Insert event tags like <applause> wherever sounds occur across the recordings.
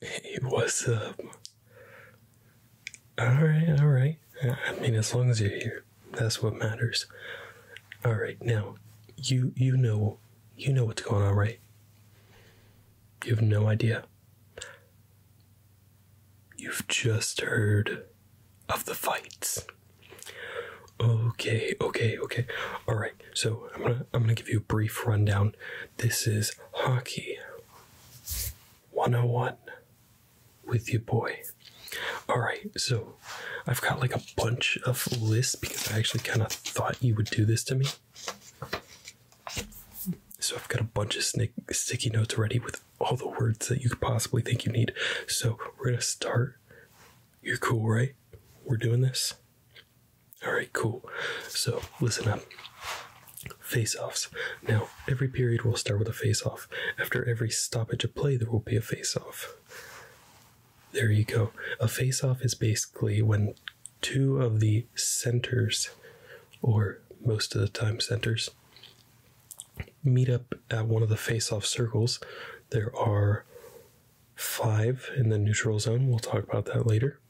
Hey, what's up? Alright, alright. I mean, as long as you're here, that's what matters. Alright, now, you, you know, you know what's going on, right? You have no idea. You've just heard of the fights. Okay, okay, okay. All right. So I'm gonna I'm going to give you a brief rundown. This is Hockey 101 with you, boy. All right, so I've got like a bunch of lists because I actually kind of thought you would do this to me. So I've got a bunch of sticky notes ready with all the words that you could possibly think you need. So we're going to start. You're cool, right? We're doing this? All right, cool. So listen up. Face offs. Now, every period will start with a face off. After every stoppage of play, there will be a face off. There you go. A face off is basically when two of the centers, or most of the time centers, meet up at one of the face off circles. There are five in the neutral zone. We'll talk about that later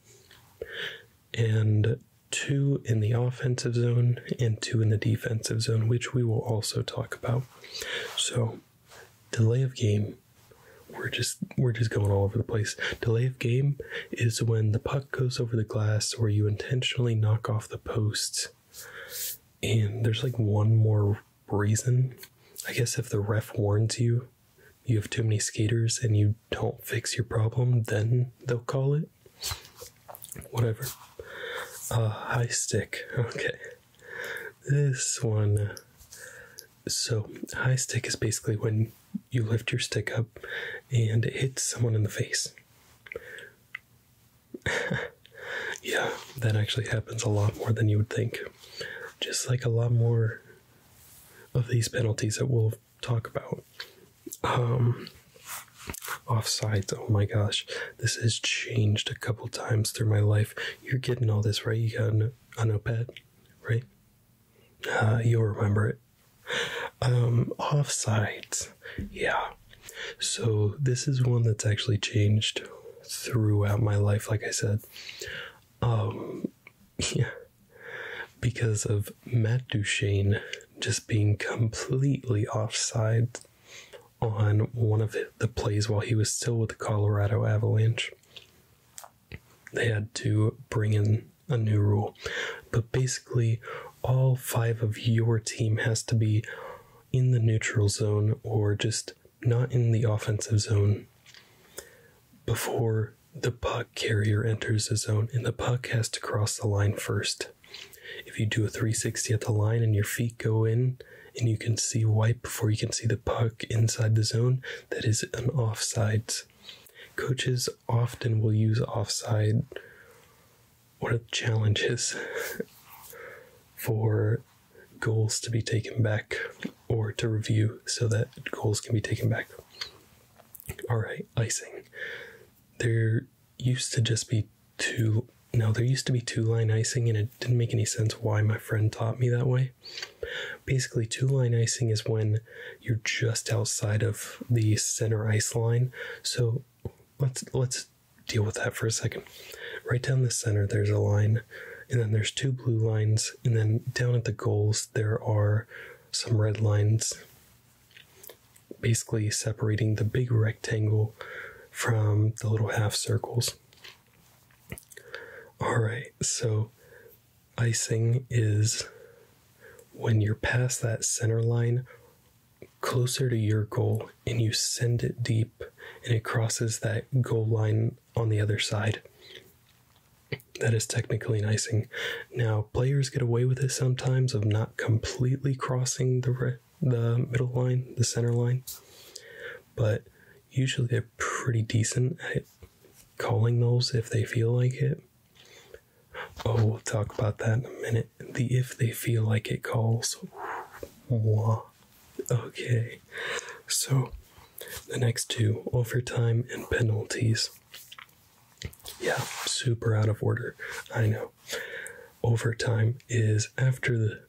and two in the offensive zone and two in the defensive zone, which we will also talk about. So, delay of game. We're just we're just going all over the place. Delay of game is when the puck goes over the glass or you intentionally knock off the post. And there's like one more reason. I guess if the ref warns you you have too many skaters and you don't fix your problem, then they'll call it. Whatever. Uh, high stick. <laughs> Okay. This one. So, high stick is basically when you lift your stick up and it hits someone in the face. <laughs> yeah, that actually happens a lot more than you would think. Just like a lot more of these penalties that will talk about. Um, offsides. Oh my gosh, this has changed a couple times through my life. You're getting all this right. You got a, a notepad, right? Uh, you'll remember it. Um, offsides. Yeah. So this is one that's actually changed throughout my life. Like I said, um, <laughs> yeah because of Matt Duchene just being completely offside on one of the plays while he was still with the Colorado Avalanche. They had to bring in a new rule. But basically, all five of your team has to be in the neutral zone or just not in the offensive zone before the puck carrier enters the zone, and the puck has to cross the line first. If you do a 360 at the line and your feet go in, and you can see white before you can see the puck inside the zone, that is an offsides. Coaches often will use offside what are the challenges for goals to be taken back or to review so that goals can be taken back. All right, icing. There used to just be two. No, there used to be two line icing, and it didn't make any sense why my friend taught me that way. Basically, two line icing is when you're just outside of the center ice line. So let's let's deal with that for a second. Right down the center, there's a line, and then there's two blue lines, and then down at the goals, there are some red lines basically separating the big rectangle from the little half circles. Alright, so icing is when you're past that center line closer to your goal and you send it deep and it crosses that goal line on the other side. That is technically an icing. Now, players get away with it sometimes of not completely crossing the the middle line, the center line, but usually they're pretty decent at calling those if they feel like it. Oh, we'll talk about that in a minute. The if they feel like it calls. Okay. So, the next two overtime and penalties. Yeah, super out of order. I know. Overtime is after the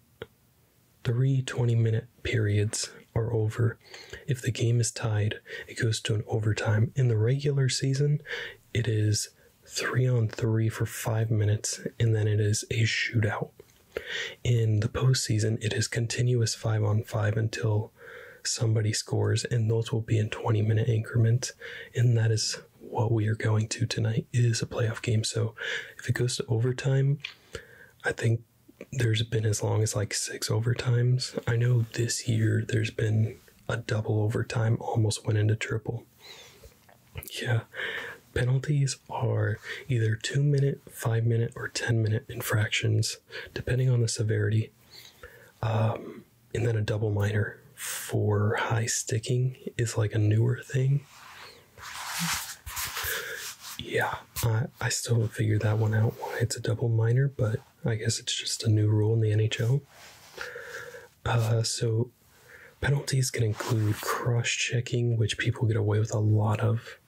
three 20 minute periods are over. If the game is tied, it goes to an overtime. In the regular season, it is three on three for five minutes, and then it is a shootout. In the postseason, it is continuous five on five until somebody scores, and those will be in 20 minute increments. And that is what we are going to tonight. is a playoff game. So if it goes to overtime, I think there's been as long as like six overtimes. I know this year there's been a double overtime, almost went into triple. Yeah. Penalties are either two minute, five minute, or 10 minute infractions, depending on the severity. Um, and then a double minor for high sticking is like a newer thing. Yeah, I, I still haven't figured that one out why it's a double minor, but I guess it's just a new rule in the NHL. Uh, so penalties can include cross checking, which people get away with a lot of.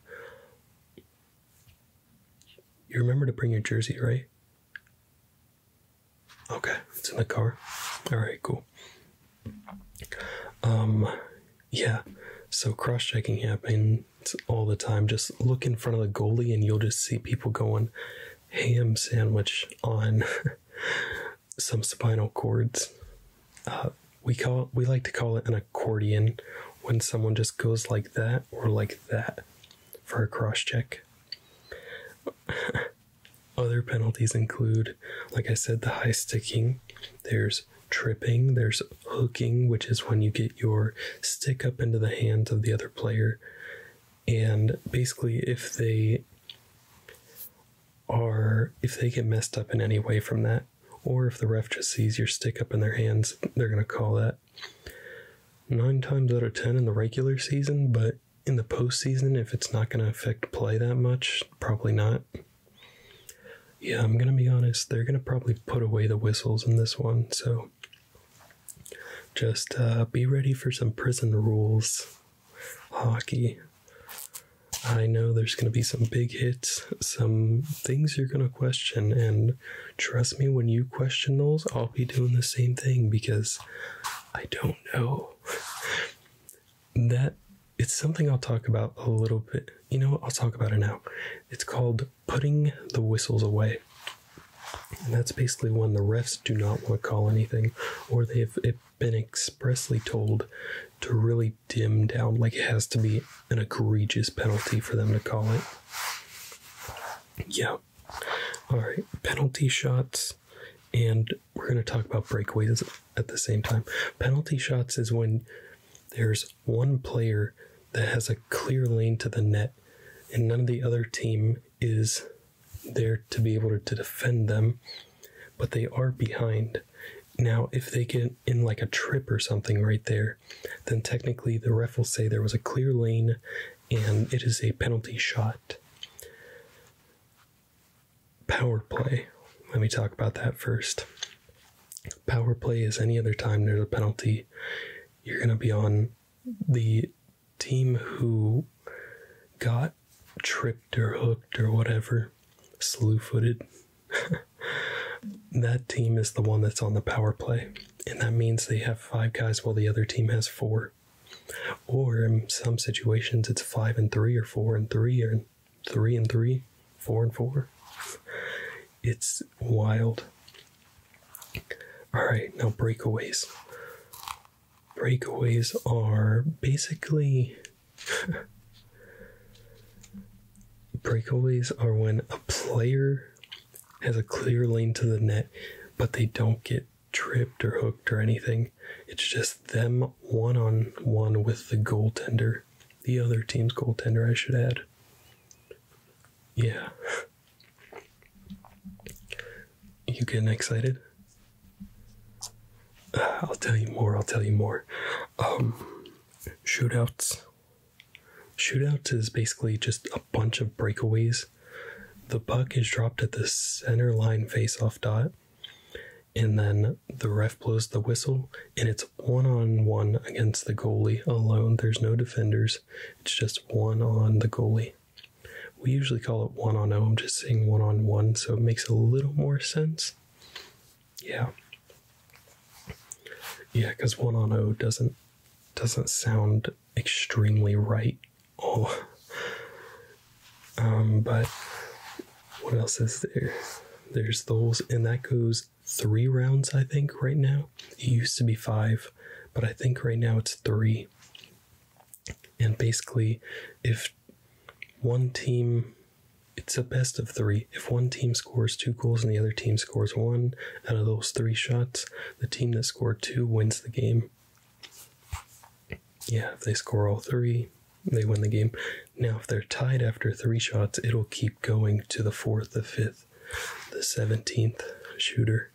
You remember to bring your jersey, right? Okay, it's in the car. All right, cool. Um, yeah. So cross checking happens all the time. Just look in front of the goalie, and you'll just see people going ham sandwich on <laughs> some spinal cords. Uh, we call we like to call it an accordion when someone just goes like that or like that for a cross check. <laughs> Other penalties include, like I said, the high sticking. There's tripping, there's hooking, which is when you get your stick up into the hands of the other player. And basically, if they are, if they get messed up in any way from that, or if the ref just sees your stick up in their hands, they're going to call that nine times out of ten in the regular season, but in the postseason, if it's not going to affect play that much, probably not. Yeah, I'm going to be honest, they're going to probably put away the whistles in this one, so just uh, be ready for some prison rules hockey. I know there's going to be some big hits, some things you're going to question, and trust me when you question those i'll be doing the same thing because i don't know that it's something i'll talk about a little bit you know i'll talk about it now it's called putting the whistles away and that's basically when the refs do not want to call anything or they've been expressly told to really dim down like it has to be an egregious penalty for them to call it yeah all right, penalty shots, and we're going to talk about breakaways at the same time. Penalty shots is when there's one player that has a clear lane to the net, and none of the other team is there to be able to defend them, but they are behind. Now, if they get in like a trip or something right there, then technically the ref will say there was a clear lane and it is a penalty shot. Power play. Let me talk about that first. Power play is any other time there's a penalty, you're going to be on the team who got tripped or hooked or whatever, slew footed. <laughs> that team is the one that's on the power play and that means they have five guys while the other team has four. Or in some situations, it's five and three, or four and three, or three and three, four and four. It's wild. All right, now breakaways. Breakaways are basically. <laughs> breakaways are when a player has a clear lane to the net, but they don't get tripped or hooked or anything. It's just them one on one with the goaltender, the other team's goaltender, I should add. Yeah. You getting excited? Uh, I'll tell you more. I'll tell you more. Um, shootouts Shootouts is basically just a bunch of breakaways. The puck is dropped at the center line face-off dot, and then the ref blows the whistle, and it's one on one against the goalie alone. There's no defenders, it's just one on the goalie. We usually call it one on 0. I'm just saying one on one, so it makes a little more sense. Yeah. Yeah, because one on 0 doesn't doesn't sound extremely right. Oh. Um, but what else is there? There's those, and that goes three rounds, I think, right now. It used to be five, but I think right now it's three. And basically, if one team, it's a best of three. If one team scores two goals and the other team scores one, out of those three shots, the team that scored two wins the game. Yeah, if they score all three, they win the game. Now, if they're tied after three shots, it'll keep going to the fourth, the fifth, the 17th shooter.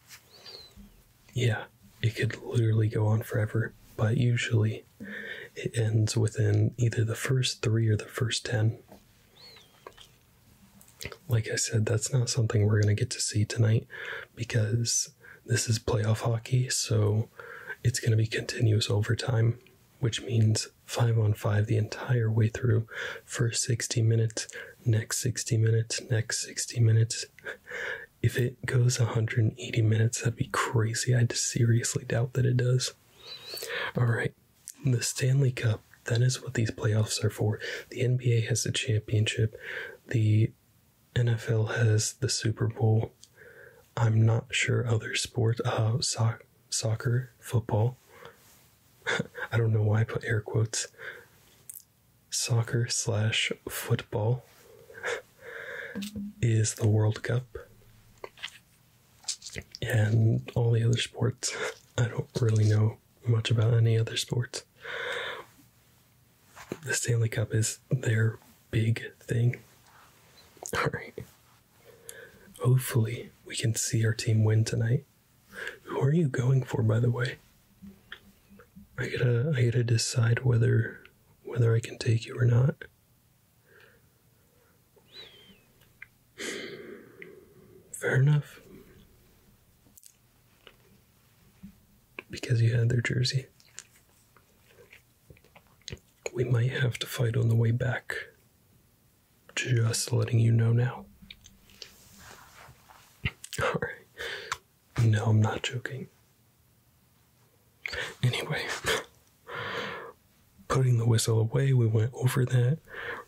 Yeah, it could literally go on forever, but usually it ends within either the first three or the first 10 like I said, that's not something we're going to get to see tonight because this is playoff hockey, so it's going to be continuous overtime, which means five on five the entire way through. First 60 minutes, next 60 minutes, next 60 minutes. If it goes 180 minutes, that'd be crazy. I seriously doubt that it does. All right, the Stanley Cup that is what these playoffs are for. The NBA has the championship, the NFL has the Super Bowl. I'm not sure other sport. uh, soccer, football. <laughs> I don't know why I put air quotes. Soccer slash football <laughs> is the World Cup. And all the other sports, <laughs> I don't really know much about any other sports. The Stanley Cup is their big thing. Hopefully, we can see our team win tonight. Who are you going for, by the way? I gotta, I gotta decide whether, whether I can take you or not. Fair enough because you had their jersey. We might have to fight on the way back. Just letting you know now. <laughs> Alright. No, I'm not joking. Anyway, <laughs> putting the whistle away, we went over that.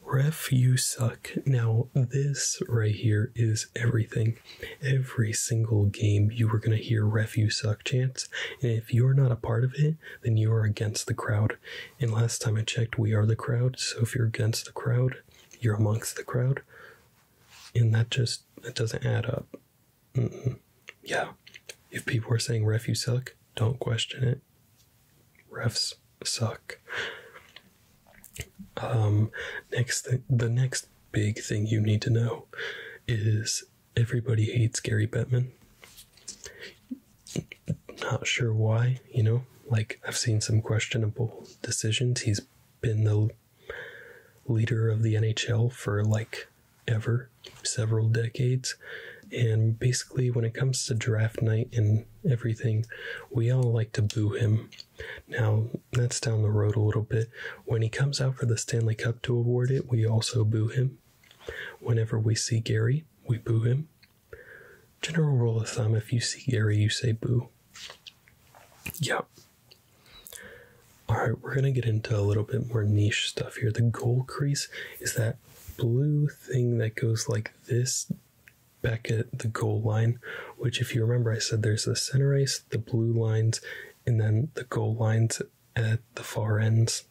Ref, you suck. Now, this right here is everything. Every single game, you were going to hear Ref, you suck chants. And if you're not a part of it, then you are against the crowd. And last time I checked, we are the crowd. So if you're against the crowd, you're amongst the crowd. And that just that doesn't add up. Yeah. If people are saying ref, you suck, don't question it. Refs suck. Um, next, th- the next big thing you need to know is everybody hates Gary Bettman. Not sure why, you know. Like I've seen some questionable decisions. He's been the leader of the NHL for like ever, several decades. And basically, when it comes to draft night and everything, we all like to boo him. Now, that's down the road a little bit. When he comes out for the Stanley Cup to award it, we also boo him. Whenever we see Gary, we boo him. General rule of thumb if you see Gary, you say boo. Yep. All right, we're going to get into a little bit more niche stuff here. The goal crease is that blue thing that goes like this back at the goal line, which, if you remember, I said there's the center ice, the blue lines, and then the goal lines at the far ends.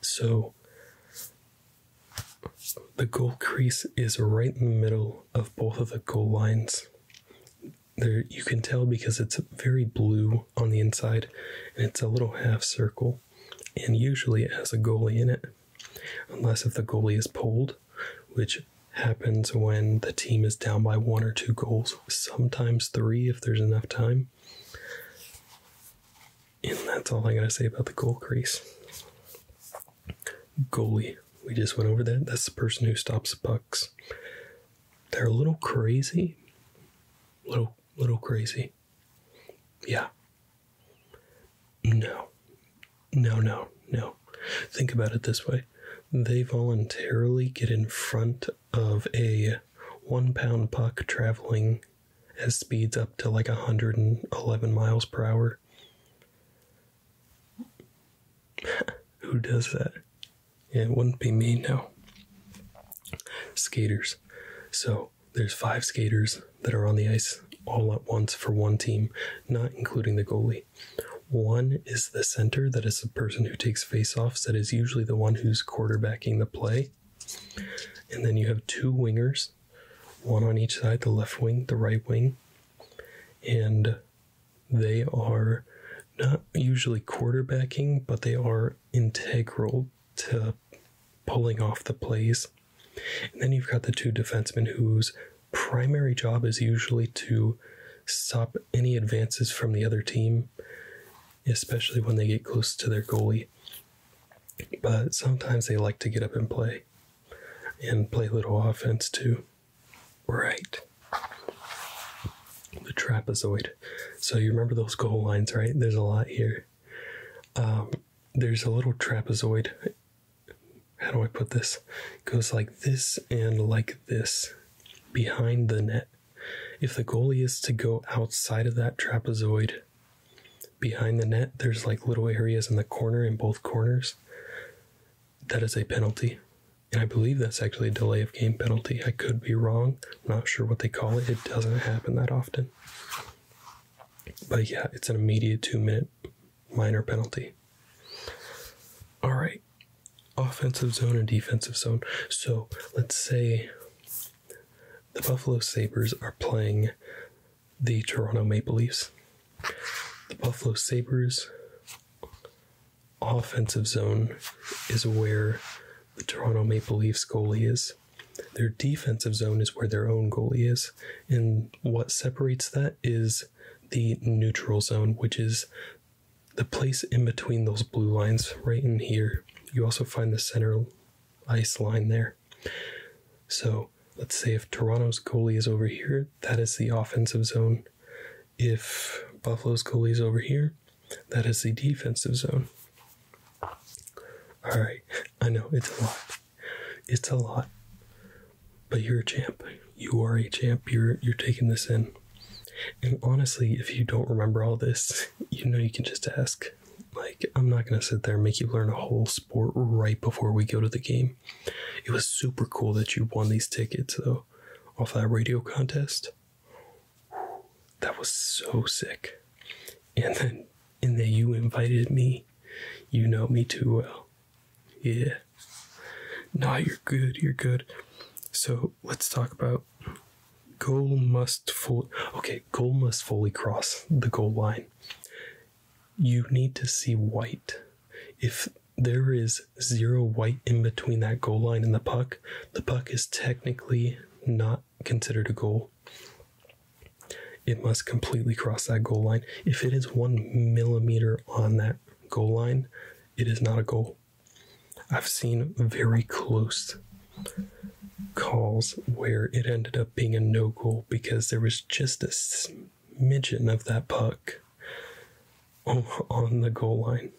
So the goal crease is right in the middle of both of the goal lines. There, you can tell because it's very blue on the inside and it's a little half circle. And usually it has a goalie in it unless if the goalie is pulled, which happens when the team is down by one or two goals, sometimes three if there's enough time. And that's all I gotta say about the goal crease. Goalie, we just went over that. That's the person who stops pucks. They're a little crazy, little little crazy. Yeah, no. No, no, no. Think about it this way they voluntarily get in front of a one pound puck traveling at speeds up to like 111 miles per hour. <laughs> Who does that? it wouldn't be me, no. Skaters. So, there's five skaters that are on the ice all at once for one team, not including the goalie. One is the center, that is the person who takes faceoffs, that is usually the one who's quarterbacking the play. And then you have two wingers, one on each side, the left wing, the right wing. And they are not usually quarterbacking, but they are integral to pulling off the plays and then you've got the two defensemen whose primary job is usually to stop any advances from the other team, especially when they get close to their goalie. But sometimes they like to get up and play and play little offense too. Right. The trapezoid. So you remember those goal lines, right? There's a lot here. Um, there's a little trapezoid how do I put this? goes like this and like this behind the net. If the goalie is to go outside of that trapezoid behind the net, there's like little areas in the corner in both corners. That is a penalty. And I believe that's actually a delay of game penalty. I could be wrong. not sure what they call it. It doesn't happen that often. But yeah, it's an immediate two minute minor penalty. All right, offensive zone and defensive zone. So let's say the Buffalo Sabres are playing the Toronto Maple Leafs. The Buffalo Sabres offensive zone is where the Toronto Maple Leafs goalie is. Their defensive zone is where their own goalie is, and what separates that is the neutral zone, which is the place in between those blue lines right in here. You also find the center ice line there. So let's say if Toronto's goalie is over here, that is the offensive zone. If Buffalo's goalie is over here, that is the defensive zone. All right, I know it's a lot. It's a lot. But you're a champ. You are a champ. You're you're taking this in. And honestly, if you don't remember all this, you know you can just ask. Like, I'm not gonna sit there and make you learn a whole sport right before we go to the game. It was super cool that you won these tickets though off that radio contest. That was so sick. And then and that you invited me. You know me too well. Yeah. Nah, you're good. You're good. So let's talk about goal must fully. Okay, goal must fully cross the goal line. You need to see white. If there is zero white in between that goal line and the puck, the puck is technically not considered a goal. It must completely cross that goal line. If it is one millimeter on that goal line, it is not a goal. I've seen very close calls where it ended up being a no goal because there was just a smidgen of that puck on the goal line.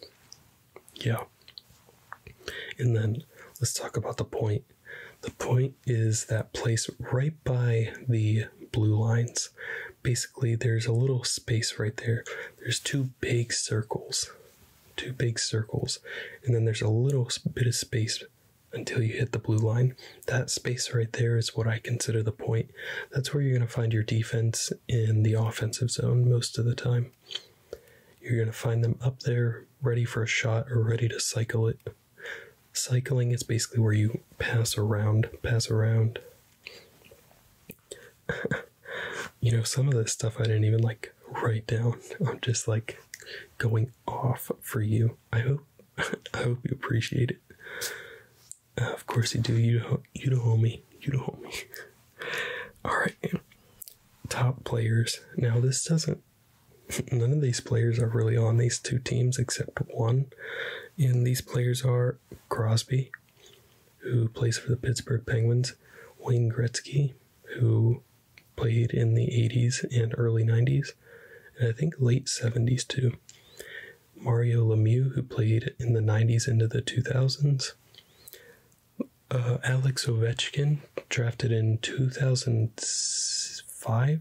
Yeah. And then let's talk about the point. The point is that place right by the blue lines. Basically, there's a little space right there. There's two big circles, two big circles, and then there's a little bit of space until you hit the blue line. That space right there is what I consider the point. That's where you're going to find your defense in the offensive zone most of the time. You're going to find them up there, ready for a shot or ready to cycle it. Cycling is basically where you pass around, pass around. <laughs> you know, some of this stuff I didn't even like write down. <laughs> I'm just like going off for you. I hope <laughs> I hope you appreciate it. Uh, of course you do. You you don't owe me. You don't owe me. All right. Top players. Now this doesn't none of these players are really on these two teams except one. And these players are Crosby, who plays for the Pittsburgh Penguins, Wayne Gretzky, who played in the 80s and early 90s, and I think late 70s too. Mario Lemieux, who played in the 90s into the 2000s. Uh, Alex Ovechkin, drafted in 2005,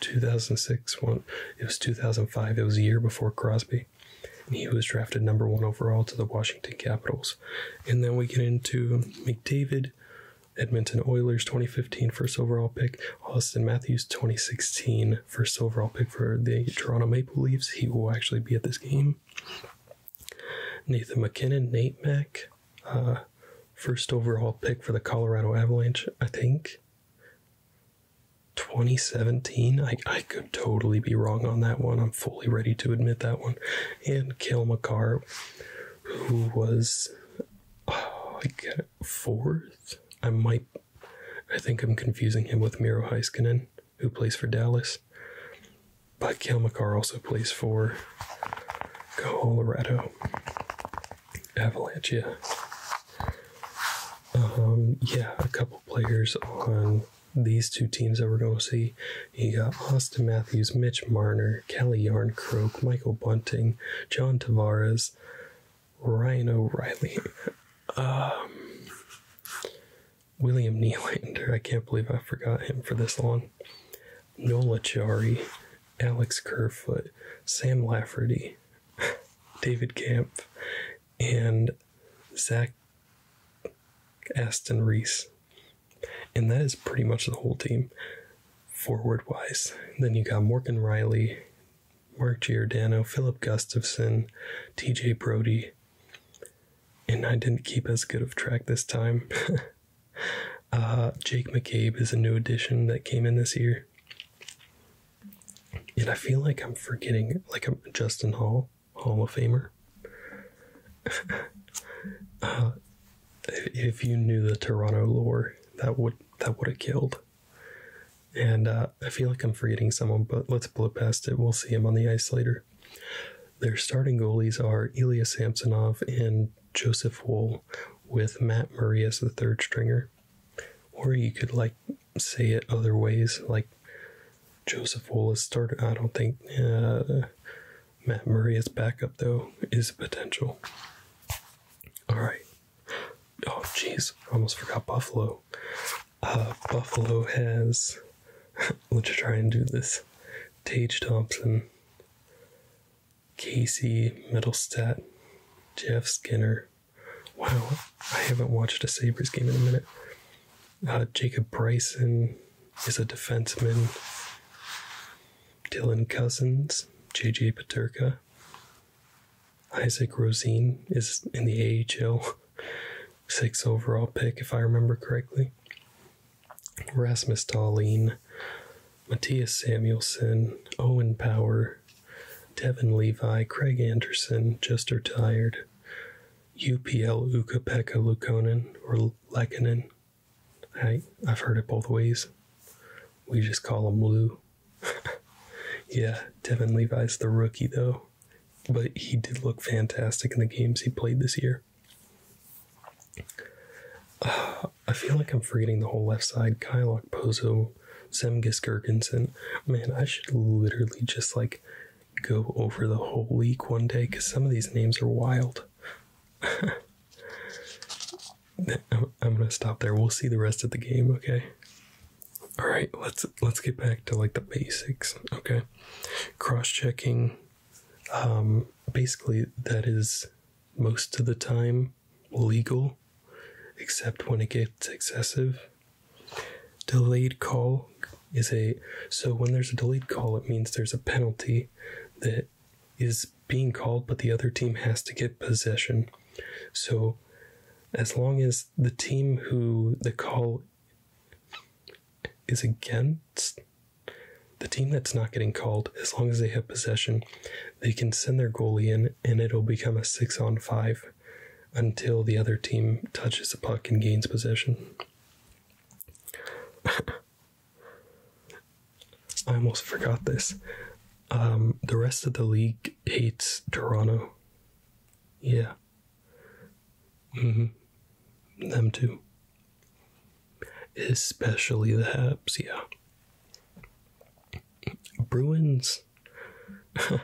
2006 one it was 2005 it was a year before crosby and he was drafted number one overall to the washington capitals and then we get into mcdavid edmonton oilers 2015 first overall pick austin matthews 2016 first overall pick for the toronto maple leafs he will actually be at this game nathan mckinnon nate mack uh, first overall pick for the Colorado Avalanche, I think. 2017. I, I could totally be wrong on that one. I'm fully ready to admit that one. And Kale McCarr, who was oh, I get it, fourth. I might. I think I'm confusing him with Miro Heiskanen, who plays for Dallas. But Kale McCarr also plays for Colorado. Avalanche, um, yeah. a couple players on these two teams that we're going to see. You got Austin Matthews, Mitch Marner, Kelly Yarn Yarncroke, Michael Bunting, John Tavares, Ryan O'Reilly, um, William Nylander. I can't believe I forgot him for this long. Nola Jari, Alex Kerfoot, Sam Lafferty, <laughs> David Camp, and Zach Aston Reese. And that is pretty much the whole team forward wise. Then you got Morgan Riley, Mark Giordano, Philip Gustafson, TJ Brody. And I didn't keep as good of track this time. <laughs> Uh, Jake McCabe is a new addition that came in this year. And I feel like I'm forgetting, like, i Justin Hall, Hall of Famer. <laughs> Uh, if you knew the Toronto lore, that would that would have killed. And uh, I feel like I'm forgetting someone, but let's blow past it. We'll see him on the ice later. Their starting goalies are Ilya Samsonov and Joseph Wool with Matt Murray as the third stringer. Or you could like say it other ways, like Joseph Wool is starter. I don't think uh, Matt Murray as backup though is potential. All right. Oh jeez, I almost forgot Buffalo. Uh, Buffalo has. <laughs> let's try and do this. Tage Thompson, Casey Middlestat, Jeff Skinner. Wow, I haven't watched a Sabres game in a minute. Uh, Jacob Bryson is a defenseman. Dylan Cousins, JJ Paterka. Isaac Rosine is in the AHL, six overall pick, if I remember correctly. Rasmus Dahlin, Matthias Samuelson, Owen Power, Devin Levi, Craig Anderson, Jester Tired, UPL Uka Pekka or Lekkonen. I, I've heard it both ways. We just call him Lou. <laughs> yeah, Devin Levi's the rookie though, but he did look fantastic in the games he played this year. I feel like I'm forgetting the whole left side. Kylok, Pozo, Zemgus, Gergensen. Man, I should literally just like go over the whole league one day because some of these names are wild. <laughs> I'm, I'm gonna stop there. We'll see the rest of the game, okay? All right, let's let's get back to like the basics, okay? Cross-checking, um, basically that is most of the time legal except when it gets excessive. Delayed call is a so when there's a delayed call, it means there's a penalty that is being called, but the other team has to get possession. So, as long as the team who the call is against, the team that's not getting called, as long as they have possession, they can send their goalie in and it'll become a six on five until the other team touches the puck and gains possession. <laughs> I almost forgot this. Um, the rest of the league hates Toronto. Yeah. hmm Them too especially the Habs, yeah. Bruins. <laughs>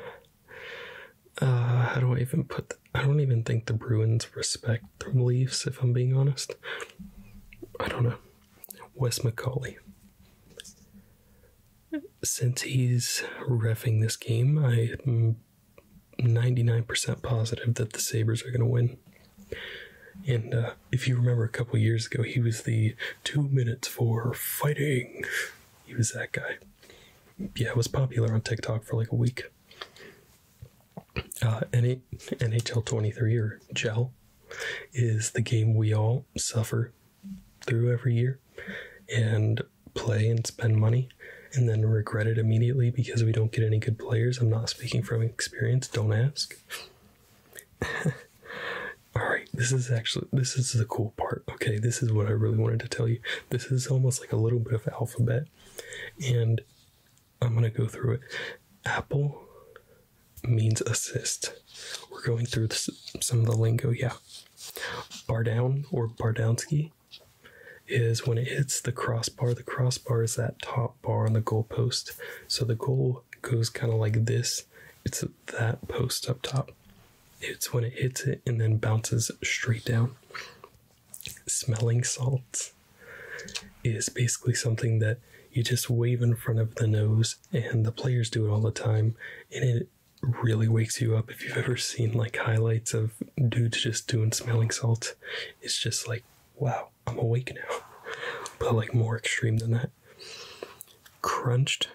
Uh, how do I even put? I don't even think the Bruins respect the Leafs, if I'm being honest. I don't know. Wes Macaulay. Since he's refing this game, I'm 99% positive that the Sabres are going to win. And uh, if you remember a couple years ago, he was the two minutes for fighting. He was that guy. Yeah, it was popular on TikTok for like a week. Uh, NHL 23 or GEL is the game we all suffer through every year and play and spend money and then regret it immediately because we don't get any good players. I'm not speaking from experience, don't ask. <laughs> All right, this is actually this is the cool part. Okay, this is what I really wanted to tell you. This is almost like a little bit of alphabet, and I'm gonna go through it. Apple means assist. We're going through some of the lingo, yeah. Bar down or Bardownski is when it hits the crossbar. The crossbar is that top bar on the goalpost. So the goal goes kind of like this. It's that post up top. It's when it hits it and then bounces straight down. Smelling salts is basically something that you just wave in front of the nose, and the players do it all the time, and it really wakes you up. If you've ever seen like highlights of dudes just doing smelling salts, it's just like, wow, I'm awake now. But like more extreme than that. Crunched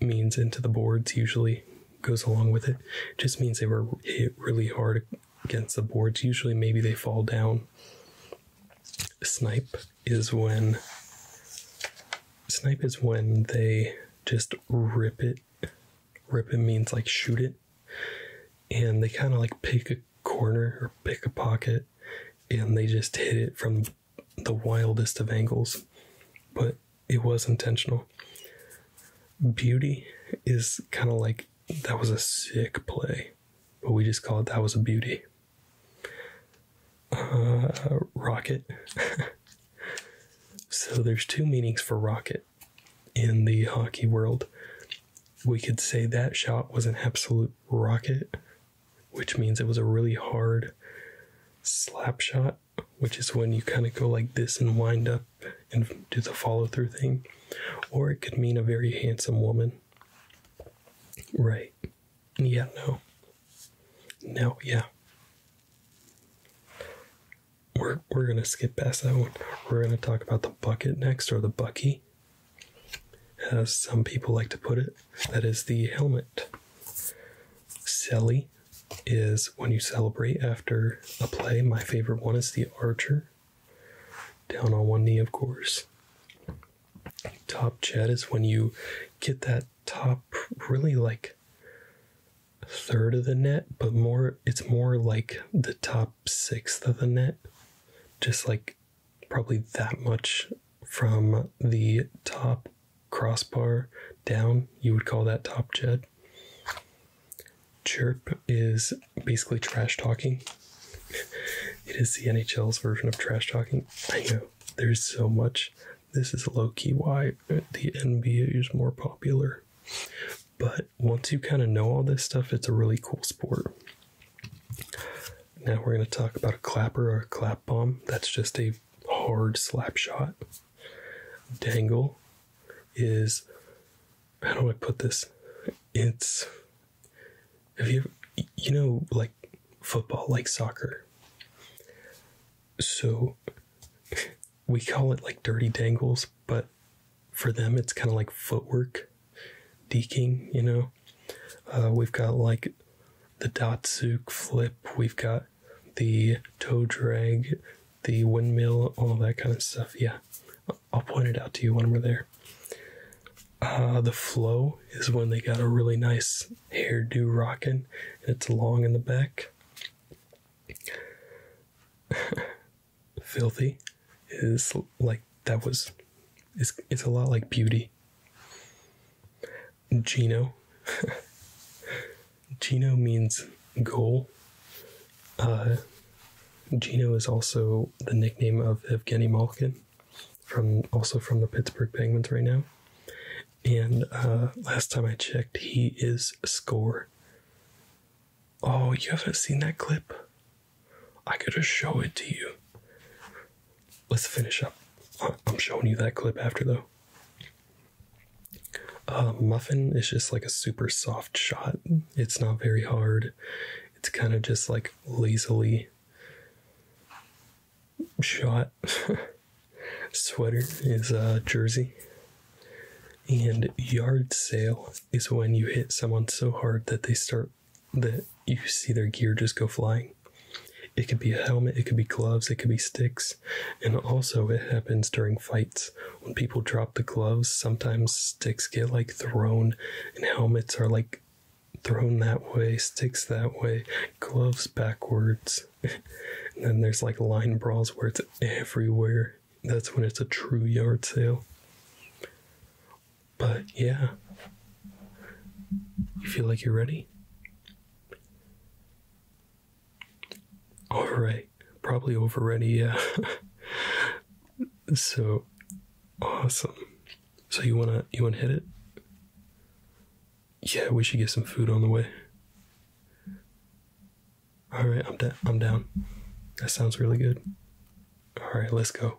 means into the boards usually goes along with it. Just means they were hit really hard against the boards. Usually maybe they fall down. Snipe is when snipe is when they just rip it. Rip it means like shoot it. And they kind of like pick a corner or pick a pocket and they just hit it from the wildest of angles, but it was intentional. Beauty is kind of like that was a sick play, but we just call it that was a beauty. Uh, rocket. <laughs> so there's two meanings for rocket in the hockey world. We could say that shot was an absolute rocket, which means it was a really hard slap shot, which is when you kind of go like this and wind up and do the follow through thing. Or it could mean a very handsome woman. Right. Yeah, no. No, yeah. We're, we're going to skip past that one. We're going to talk about the bucket next or the bucky as some people like to put it, that is the helmet. Celly is when you celebrate after a play. My favorite one is the archer. Down on one knee, of course. Top jet is when you get that top really like third of the net, but more it's more like the top sixth of the net. Just like probably that much from the top crossbar down. You would call that top jed. Chirp is basically trash talking. <laughs> it is the NHL's version of trash talking. I know there's so much. This is low key why the NBA is more popular. But once you kind of know all this stuff, it's a really cool sport. Now we're going to talk about a clapper or a clap bomb. That's just a hard slap shot. Dangle is how do I put this? It's have you you know like football, like soccer. So we call it like dirty dangles, but for them it's kind of like footwork deking, you know. Uh, we've got like the Datsuk flip, we've got the tow drag, the windmill, all that kind of stuff. Yeah, I'll point it out to you when we're there. Uh, the flow is when they got a really nice hairdo rocking, and it's long in the back. <laughs> Filthy is like that was it's it's a lot like beauty. Gino. <laughs> Gino means goal. Uh, Gino is also the nickname of Evgeny Malkin, from also from the Pittsburgh Penguins right now. And uh, last time I checked, he is score. Oh, you haven't seen that clip? I could just show it to you. Let's finish up. I'm showing you that clip after, though. Uh, muffin is just like a super soft shot. It's not very hard. It's kind of just like lazily shot. <laughs> Sweater is a jersey. And yard sale is when you hit someone so hard that they start that you see their gear just go flying. It could be a helmet, it could be gloves, it could be sticks. And also, it happens during fights. When people drop the gloves, sometimes sticks get like thrown, and helmets are like thrown that way, sticks that way, gloves backwards. <laughs> and then there's like line brawls where it's everywhere. That's when it's a true yard sale. But yeah, you feel like you're ready? All right, probably over ready, yeah. <laughs> so awesome. So you wanna you wanna hit it? Yeah, we should get some food on the way. All right, I'm down. I'm down. That sounds really good. All right, let's go.